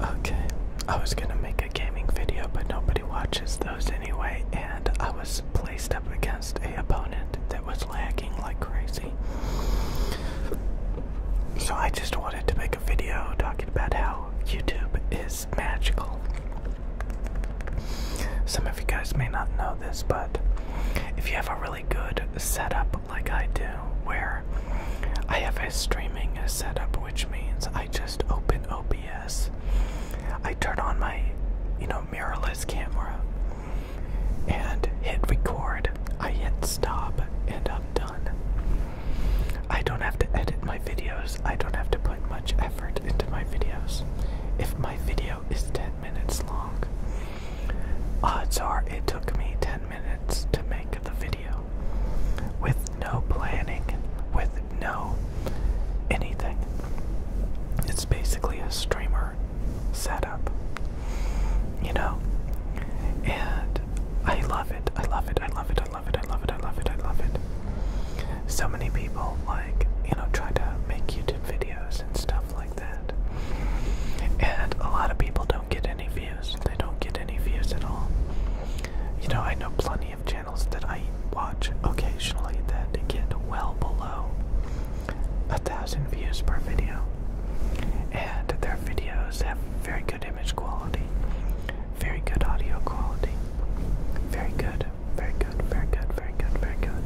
Okay, I was gonna make a gaming video, but nobody watches those anyway, and I was placed up against a opponent that was lagging like crazy. So I just wanted to make a video talking about how YouTube is magical. Some of you guys may not know this, but if you have a really good setup like I do, where I have a streaming setup, which means I just open OBS, I turn on my, you know, mirrorless camera, and hit record. I hit stop, and I'm done. I don't have to edit my videos. I don't have to put much effort into my videos. If my video is 10 minutes long, Odds are it took me 10 minutes to make the video with no planning, with no anything. It's basically a streamer setup, you know? And I love it, I love it, I love it, I love it, I love it, I love it, I love it. So many people, like, you know, try to make YouTube videos and stuff like that. And a lot of people don't do get any views. They don't get any views at all. You know, I know plenty of channels that I watch occasionally that get well below a thousand views per video. And their videos have very good image quality, very good audio quality, very good, very good, very good, very good, very good.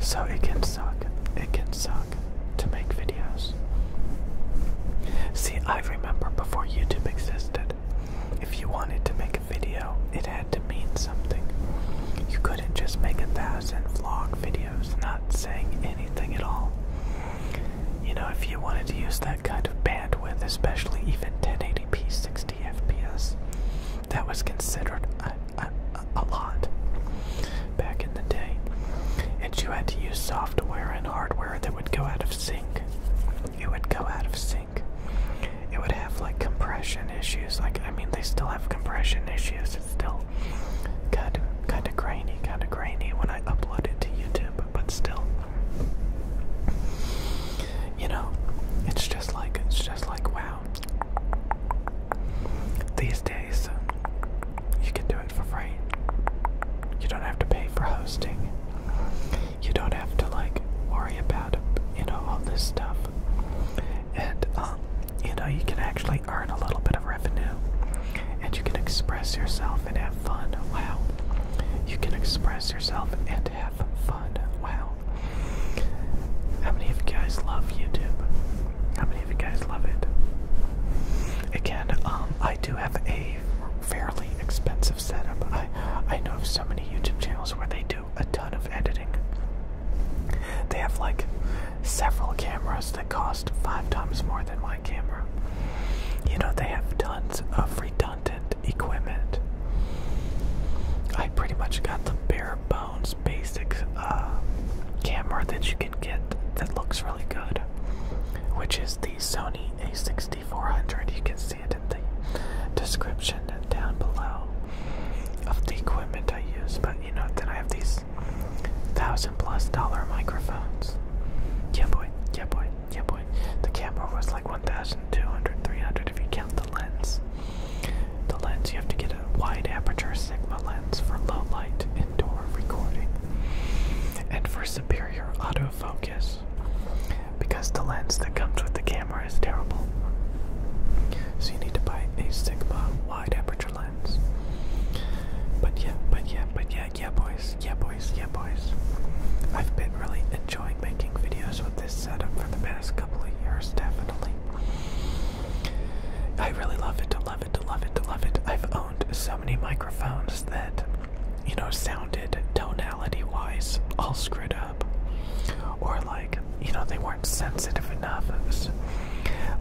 So it can suck. It can suck to make videos. See, I remember before YouTube existed, if you wanted to make a video, it had to mean something. You couldn't just make a thousand vlog videos not saying anything at all. You know, if you wanted to use that kind of bandwidth, especially even 1080p 60fps, that was considered a a, lot back in the day, and you had to use software and hardware that would go out of sync. It would go out of sync. It would have like compression issues. Like I mean, they still have compression issues. It's still kind of kind of grainy, kind of grainy when I upload it to YouTube, but still. You know, it's just like it's just like wow. These days, um, you can do it for free. You don't have to pay for hosting. You don't have to like worry about you know all this stuff, and um, you know you can actually earn a little bit of revenue, and you can express yourself and have fun. Wow, you can express yourself and have fun. Wow, how many of you guys love YouTube? How many of you guys love it? Again, um, I do have a fairly expensive setup. I I know of so many YouTube channels where they do a ton of editing. They have like several cameras that cost five times more than my camera. You know, they have tons of redundant equipment. I pretty much got the bare bones basic uh, camera that you can get that looks really good, which is the Sony A6400. You can see it in the description down below of the equipment I use. But you know, then I have these thousand plus dollar microphones. Yeah, boy. Yeah, boy. Yeah, boy. The camera was like 1,200, 300 if you count the lens. The lens, you have to get a wide aperture Sigma lens for low light indoor recording. And for superior autofocus, because the lens that comes with the camera is terrible. So you need to buy a Sigma wide aperture lens. But yeah, but yeah, but yeah, yeah, boys, yeah, boys, yeah, boys. I've been really enjoying making videos with this setup for the past couple of years, definitely. I really love it, love it, love it, love it. I've owned so many microphones that, you know, sounded tonality wise all screwed up. Or, like, you know, they weren't sensitive enough.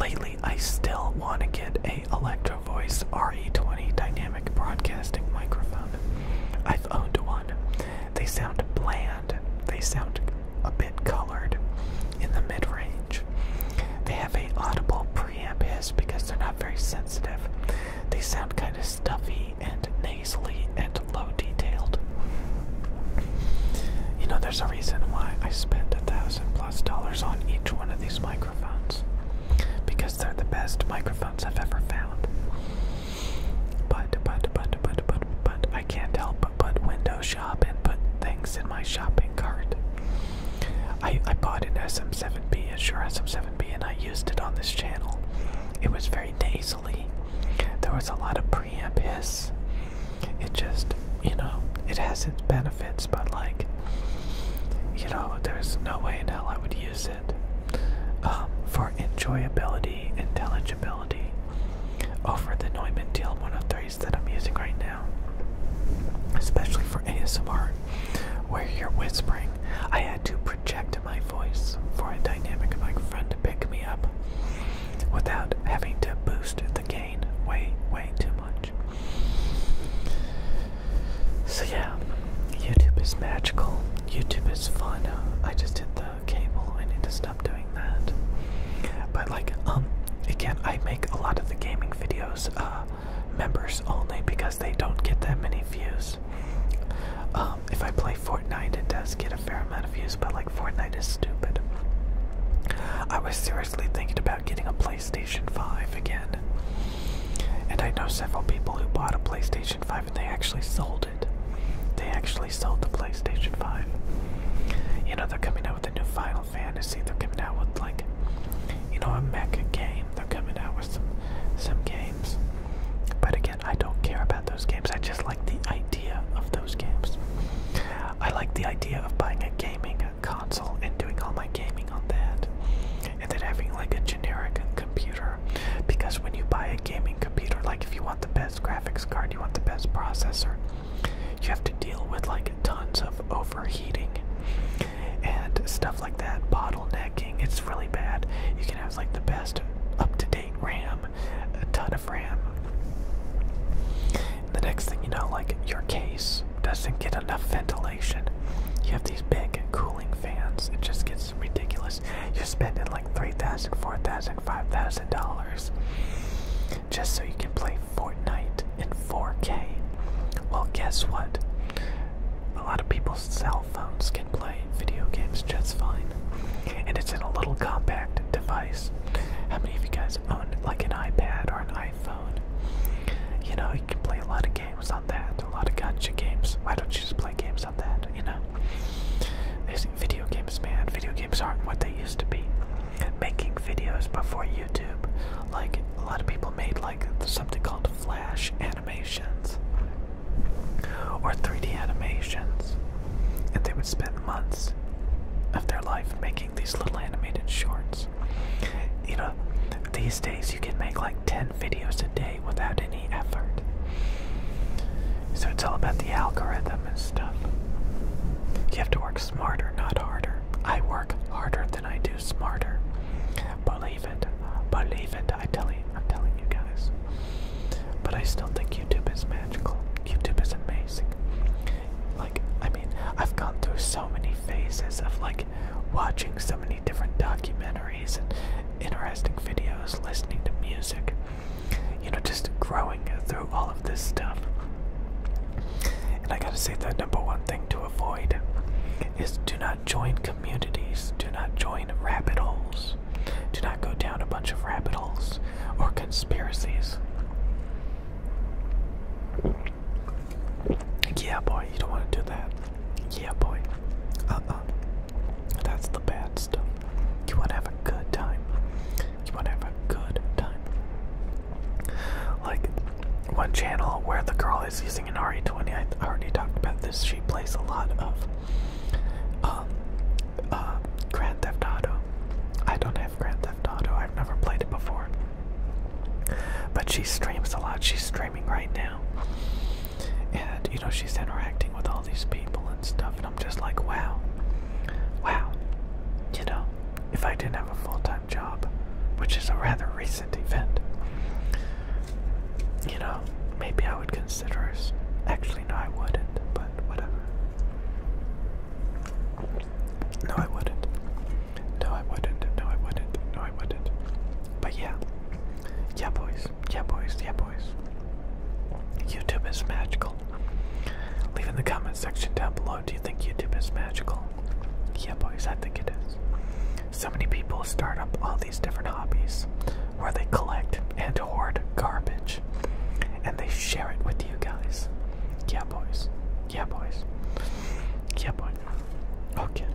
lately, I still want to get a Electro Voice RE20 dynamic broadcasting microphone. I've owned one. They sound bland they sound a bit colored in the mid range. They have a audible preamp hiss because they're not very sensitive. They sound kind of stuffy and nasally and low detailed. You know, there's a reason why I spend a thousand plus dollars on each one of these microphones because they're the best microphones I've ever found. But, but, but, but, but, but, I can't help put window shop and put things in my shopping cart. I, I bought an SM7B, a Shure SM7B, and I used it on this channel. It was very nasally. There was a lot of preamp hiss. It just, you know, it has its benefits, but like, you know, there's no way in hell I would use it. Um, for enjoyability, intelligibility, over the Neumann DL103s that I'm using right now, especially for ASMR, where you're whispering. I had to project my voice for a dynamic friend to pick me up without having to boost the gain way, way too much. So, yeah, YouTube is magical, YouTube is fun. I just did that cable. I need to stop doing that. But like, um, again, I make a lot of the gaming videos uh, members only because they don't get that many views. Um, if I play Fortnite, it does get a fair amount of views, but like Fortnite is stupid. I was seriously thinking about getting a PlayStation 5 again. And I know several people who bought a PlayStation 5 and they actually sold it. They actually sold the PlayStation 5. You know, they're coming out with a new Final Fantasy. They're coming out with, like, you know, a mecha game. They're coming out with some, some games. But again, I don't care about those games. I just like the idea of those games. I like the idea of buying a gaming console and doing all my gaming on that. And then having, like, a generic computer. Because when you buy a gaming computer, like, if you want the best, graphics card, you want the best processor. You have to deal with like tons of overheating and stuff like that, bottlenecking. It's really bad. You can have like the best up-to-date RAM, a ton of RAM. the next thing you know, like your case doesn't get enough ventilation. You have these big cooling fans. It just gets ridiculous you're spending like three thousand four thousand five thousand dollars just so you can play Fortnite in 4K well guess what a lot of people's cell phones can play video games just fine and it's in a little compact device how many of you guys own like an iPad or an iPhone you know you can play a lot of games on that a lot of gotcha games why don't you just play video games, man. Video games aren't what they used to be. Making videos before YouTube, like a lot of people made like something called Flash animations or 3D animations, and they would spend months of their life making these little animated shorts. You know, these days you can make like 10 videos a day without any effort. So it's all about the algorithm and stuff. You have to work smarter, not harder. I work harder than I do smarter. Believe it. Believe it. I tell you, I'm telling you guys. But I still think YouTube is magical. YouTube is amazing. Like, I mean, I've gone through so many phases of like watching so many different documentaries and interesting videos, listening to music, you know, just growing through all of this stuff. And I gotta say, the number one thing to avoid is do not join communities, do not join rabbit holes, do not go down a bunch of rabbit holes or conspiracies. Yeah, boy, you don't want to do that. Yeah, boy. Uh uh. That's the bad stuff. You wanna have a good time. You wanna have a good time. Like, one channel where the girl is using an RE20, I already talked about this. She plays a lot of um, uh, Grand Theft Auto. I don't have Grand Theft Auto, I've never played it before. But she streams a lot. She's streaming right now and you know she's interacting with all these people and stuff and i'm just like wow wow you know if i didn't have a full-time job which is a rather recent event you know maybe i would consider actually no i wouldn't but whatever no i wouldn't no i wouldn't no i wouldn't no i wouldn't but yeah yeah boys yeah, boys. Yeah, boys. YouTube is magical. Leave in the comment section down below. Do you think YouTube is magical? Yeah, boys. I think it is. So many people start up all these different hobbies where they collect and hoard garbage and they share it with you guys. Yeah, boys. Yeah, boys. Yeah, boys. Okay.